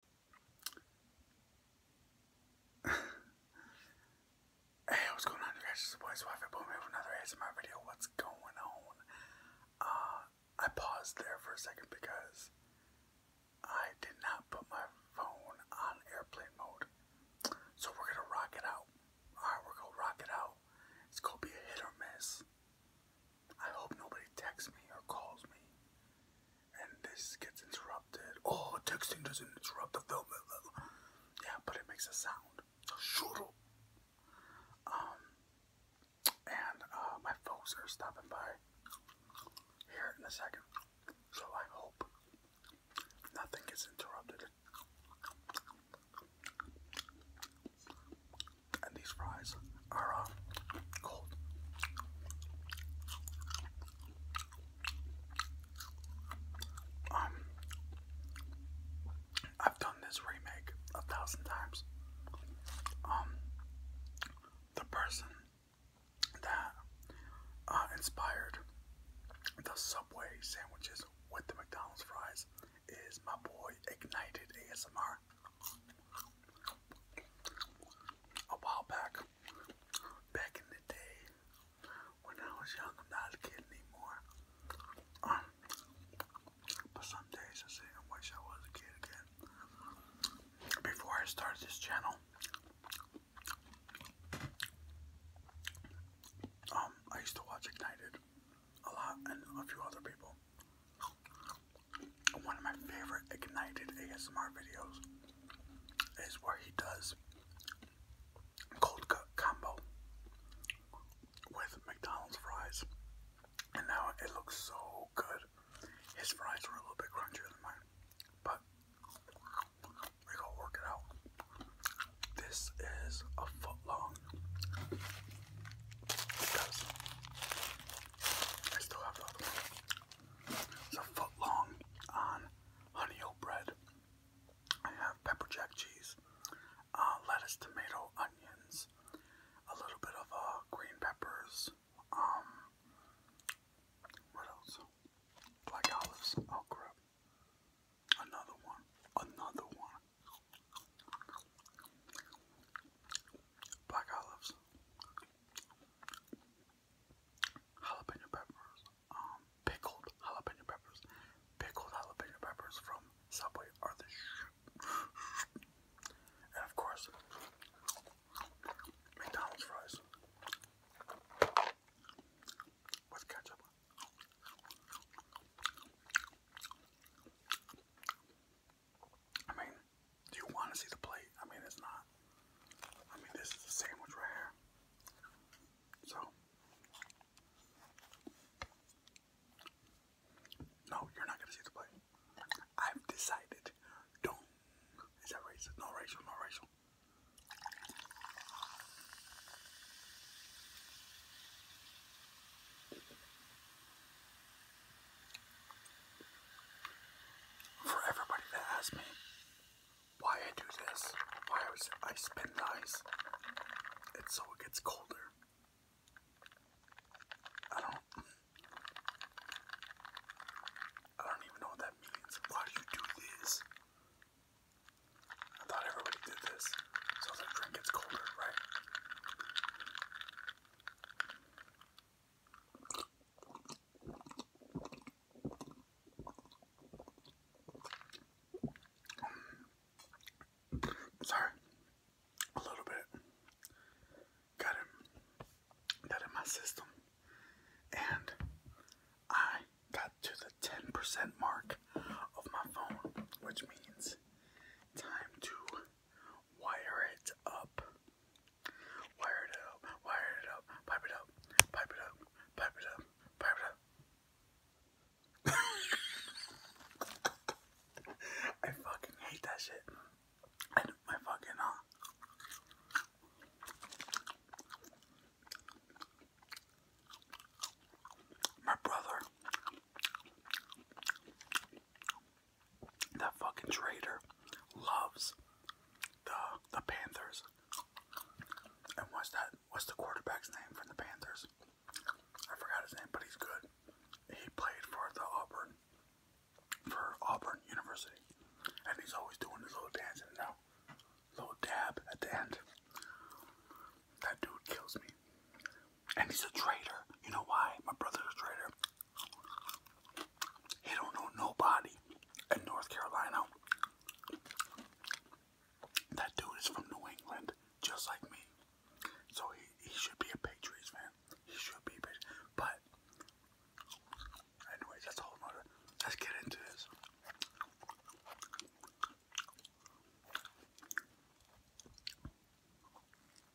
hey, what's going on, you guys? It's your boy Swipe Boom here with another ASMR video. What's going on? Uh, I paused there for a second because I did not put my phone on airplane mode. So we're gonna rock it out. Alright, we're gonna rock it out. It's gonna be a hit or miss. I hope nobody texts me or calls me and this gets interrupted. Oh, texting doesn't interrupt the film. Yeah, but it makes a sound. Shuru. Um, and uh, my folks are stopping by here in a second, so I hope nothing gets interrupted. And these fries are cold. Um, I've done this remake a thousand times. Um, the person that uh, inspired the Subway sandwiches with the McDonald's fries is my boy Ignited ASMR. A while back, back in the day, when I was young, I'm not a kid anymore. Um, but some days I say I wish I was a kid again. Before I started this channel, um, I used to watch Ignited a lot and a few other people. One of my favorite Ignited ASMR videos is where he does cold cut combo with McDonald's fries. And now it looks so good. His fries were a little bit crunchier than mine. But we going work it out. This is a foot long. I still have that. It's a foot long on um, honey oat bread. I have pepper jack cheese, uh, lettuce, tomato, onions, a little bit of uh, green peppers. Um, what else? Black olives. Oh crap! Another one. Another one black olives, jalapeno peppers, um, pickled jalapeno peppers, pickled jalapeno peppers from Subway are the shit. And of course, McDonald's fries with ketchup. I mean, do you want to see the plate? I mean, it's not. I mean, this is the sandwich right here. So, no, you're not gonna see the plate. I've decided. Don't. Is that racial? No racial. No racial. For everybody that asks me why I do this, why I spin the ice, so it gets colder. I don't. I don't even know what that means. Why do you do this? I thought everybody did this, so the drink gets colder, right? Sorry, a little bit got in, got in my system, and I got to the 10% mark of my phone, which means time to wire it up. Wire it up, wire it up, pipe it up, pipe it up, pipe it up, pipe it up. I fucking hate that shit. I my fucking uh my brother that fucking traitor loves the the Panthers. And what's that? What's the quarterback's name from the Panthers? I forgot his name, but he's good. He played for the Auburn, for Auburn University, and he's always doing his little dancing you now, little dab at the end. That dude kills me. And he's a traitor. You know why? My brother's a traitor. He don't know nobody in North Carolina. That dude is from New England, just like me. So he, he should be a Patriots fan. He should be But, anyways, that's a whole nother. Let's get into this.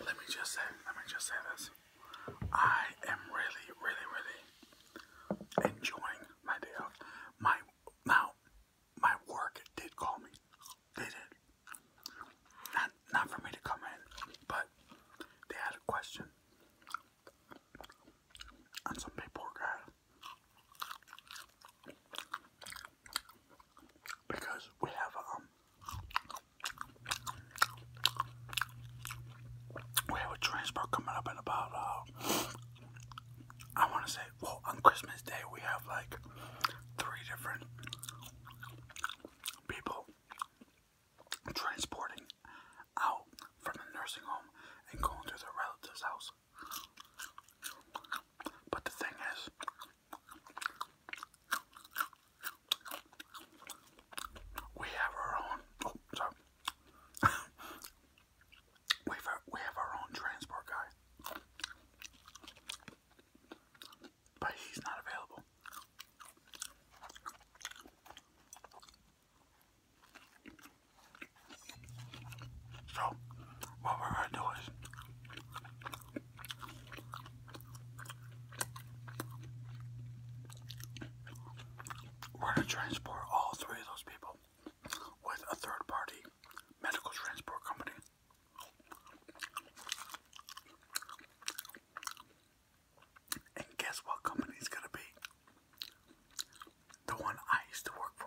Let me just say, let me just say this. I am really, really, really enjoying my day off. My now, my work did call me. They did. Not, not for me to comment, but they had a question. And some paperwork Because we have um, we have a transport coming up in about, uh, I want to say, well, on Christmas Day, we have like three different people transporting out from the nursing home and going to their relative's house. But the thing is, we have our own. Oh, we have we have our own transport guy but he's not available. So, what we're going to do is we're going to transport all three of those people with a third party medical transport company. And guess what company's gonna be? The one I used to work for.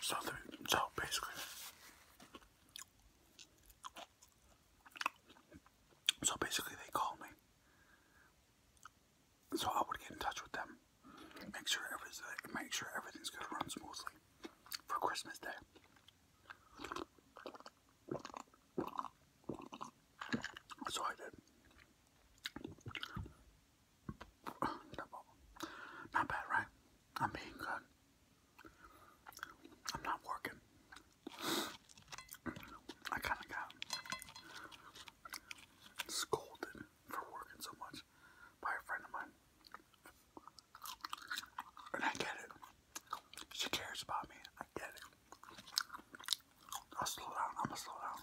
So, so basically, so basically they call me. So I would get in touch with them, make sure everything, make sure everything's gonna run smoothly for Christmas Day. So I did. Not bad, right? I'm being good. I'm not working. I kind of got scolded for working so much by a friend of mine. And I get it. She cares about me. I get it. I'll slow down. I'm gonna slow down.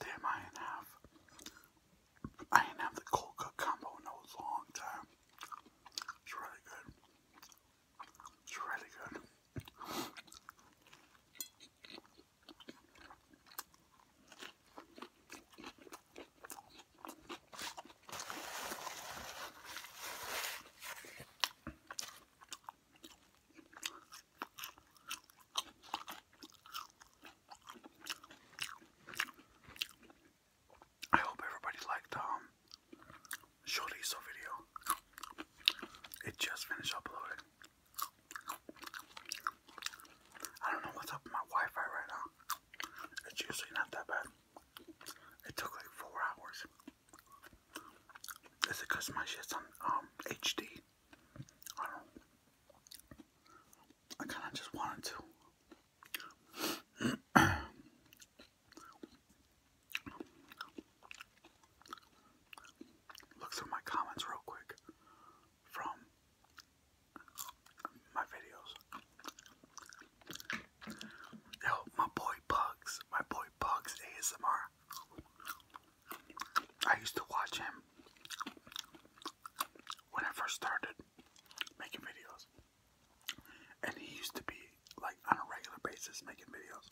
Damn, I ain't have, I ain't have the cold cook combo in a long time. It's really good. It's really good. I hope everybody liked um Chorizo video. It just finished uploading. I don't know what's up with my Wi-Fi right now. It's usually not that bad. It took like four hours. Is it because my shit's on um, HD? I don't. I kind of just wanted to. Look through my comments real quick from my videos. Yo, my boy Bugs, my boy Bugs ASMR. I used to watch him when I first started making videos. And he used to be like on a regular basis making videos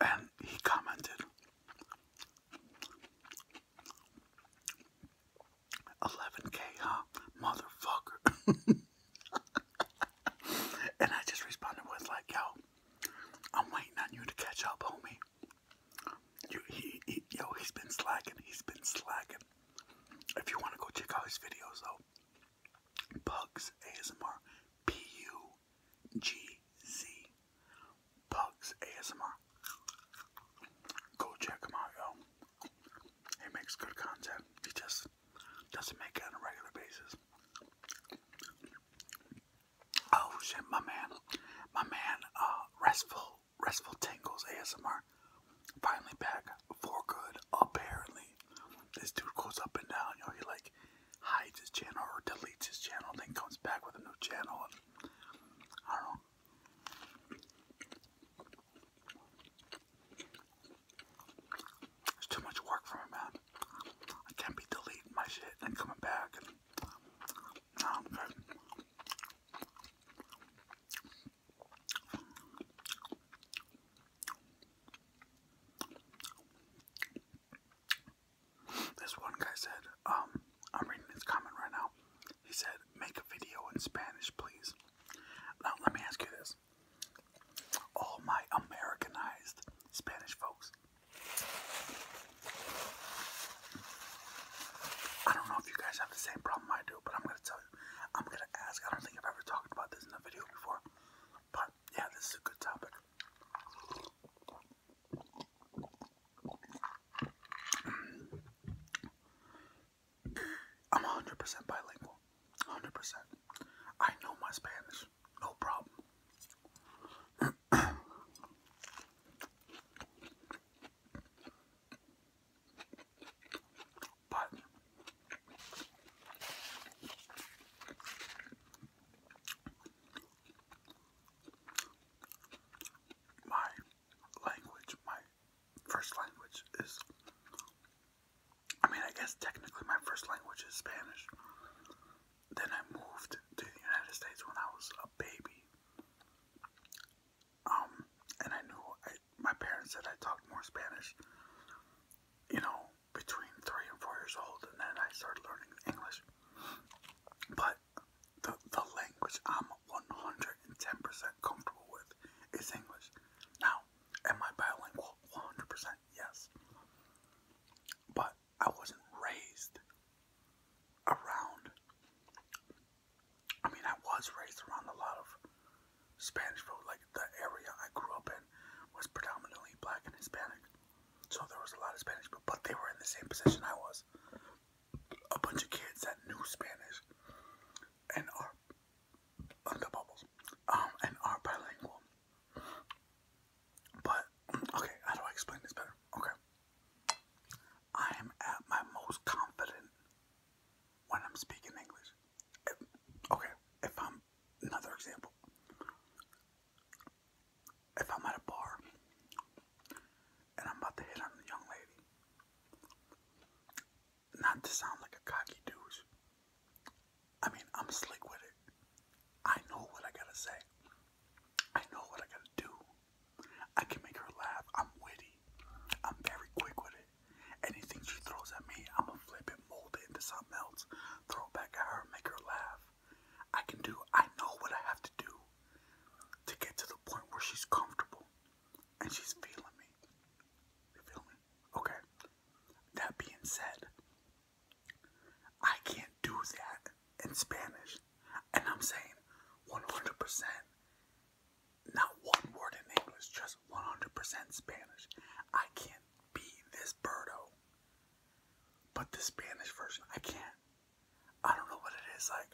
and he commented 11k, huh? Motherfucker. and I just responded with, like, yo, I'm waiting on you to catch up, homie. yo, he's been slacking. He's been slacking. If you want to go check out his videos, though, Pugs ASMR. P U G Z. Pugs ASMR. Go check him out, yo. He makes good content. He just doesn't make it on a regular basis. Oh shit, my man, my man, uh, restful, restful tingles ASMR, finally back for good, apparently this dude goes up and down. You know, he like hides his channel or deletes his channel, then comes back with a new channel. I don't It's too much work for me, man. I can't be deleting my shit and coming back. This one guy said, um, I'm reading his comment right now. He said, make a video in Spanish, please. Now, let me ask you this. All my Americanized Spanish folks. I don't know if you guys have the same problem I do, but I'm going to tell you. I'm going to ask. I don't think I've ever talked about this in a video before. But yeah, this is a good topic. I'm 100% bilingual. 100%. I know my Spanish. No problem. But my language, my first language is, I mean, I guess technically my first language is Spanish. Then I moved to the United States when I was a baby. Um, and I knew I my parents said I talked more Spanish, you know, between three and four years old, and then I started learning English. But the the language I'm 110% comfortable with is English. Now, am I bilingual? 100%, yes. But I wasn't raised around. I mean, I was raised around a lot of Spanish, Spanishville, like the area I grew up in, was predominantly black and Hispanic. So there was a lot of Spanish people, but they were in the same position I was. A bunch of kids that knew Spanish and are on bubbles. Um and are bilingual. But okay, how do I explain this better? Okay. I am at my most confident when I'm speaking English okay, if I'm another example, if I'm at a bar and I'm about to hit on a young lady, not to sound like a cocky douche, I mean, I'm slick with it. I know what I gotta say, I know what I gotta do. I can make her laugh. I'm witty, I'm very quick with it. Anything she throws at me, I'ma flip it, mold it into something else, throw it back at her, make her laugh. I can do, I know what I have to do to get to the point where she's comfortable and she's feeling me. You feel me? Okay. That being said, I can't do that in Spanish. And I'm saying 100% not one word in English, just 100% Spanish. I can't be this Birdo. But this Spanish version, I can't. I don't know what it is like.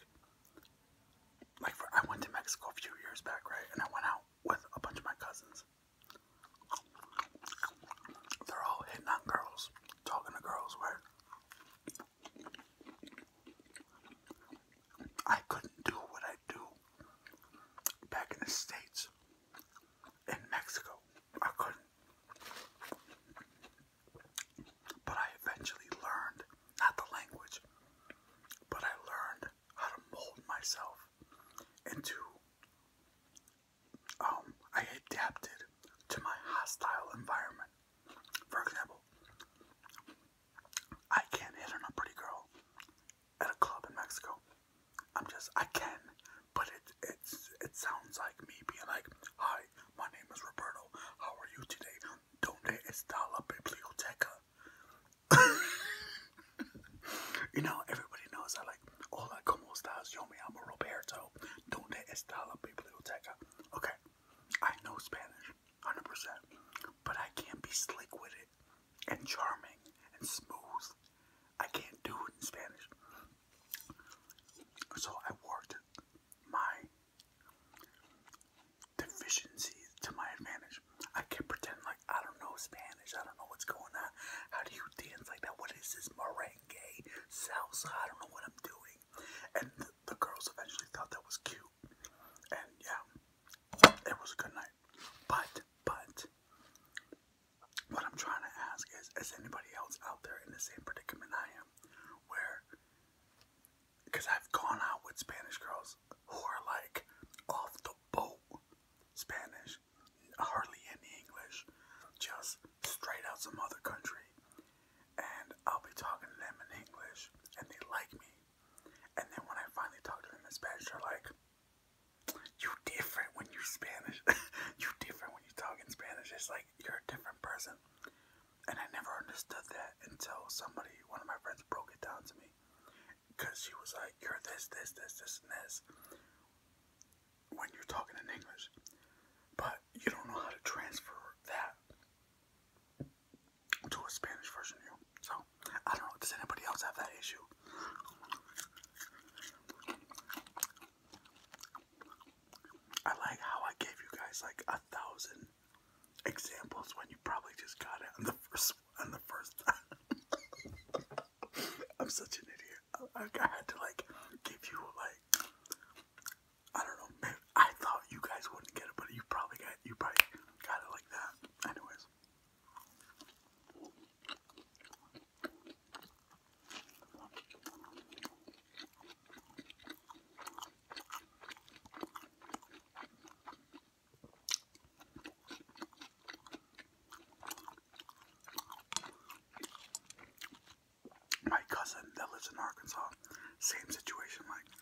Like, for, I went to Mexico a few years back, right? And I went out with a bunch of my cousins. They're all hitting on girls, talking to girls, where. I couldn't do what I do back in the States, in Mexico. I couldn't. But I eventually learned, not the language, but I learned how to mold myself into, um, I adapted to my hostile environment. For example, I can't hit on a pretty girl at a club in Mexico. I'm just, I can, but it it's it sounds like me being like, "Hi, my name is Roberto. How are you today? Donde está la biblioteca?" you know, everybody knows I like, "Hola, cómo estás? Yo me llamo Roberto. Donde está biblioteca?" Okay, I know Spanish. 100%. But I can't be slick with it and charming and smooth. I can't do it in Spanish. So I worked my deficiencies to my advantage. I kept pretending like I don't know Spanish. I don't know what's going on. How do you dance like that? What is this merengue salsa? I don't know what I'm doing. And the girls eventually thought that was cute. And yeah, it was a good night. But, but, what I'm trying to ask is, is anybody else out there in the same predicament I am? Where, because I've gone out with Spanish girls who are like off the boat Spanish, hardly any English, just straight out some other country. And I'll be talking to them in English, and they like me. And then when I finally talk to them in Spanish, they're like, "You different when you Spanish. you different when you talk in Spanish. It's like you're a different person." And I never understood that until somebody, one of my friends, broke it down to me, because she was like, "You're this, this, this, this, and this." When you're talking in English, but you don't know how to transfer that to a Spanish version of you. So, I don't know, does anybody else have that issue? I like how I gave you guys like a thousand examples when you probably just got it on the first on the first I'm such an idiot. I, had to like give you like I don't know, I thought you guys wouldn't get it, but you probably got you probably got it like that. Anyways. My cousin that lives in Arkansas, same situation like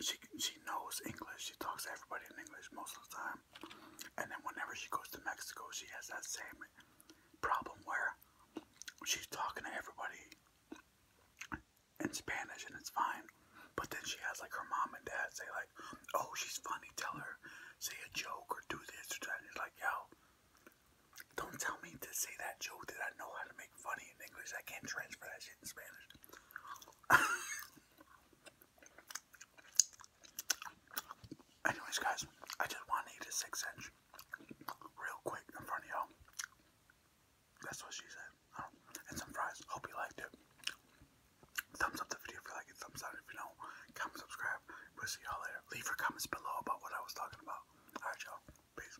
she she knows English. She talks to everybody in English most of the time. And then whenever she goes to Mexico, she has that same problem where she's talking to everybody in Spanish and it's fine. But then she has like her mom and dad say like, "Oh, she's funny. Tell her, say a joke or do this or that." And like, "Yo, don't tell me to say that joke that I know how to make funny in English. I can't transfer that shit." Anyways, guys, I just want to eat a real quick in front of y'all. That's what she said. Um, and some fries. Hope you liked it. Thumbs up the video if you like it. Thumbs down if you don't. Comment, subscribe. We'll see y'all later. Leave your comments below about what I was talking about. Alright, y'all. Peace.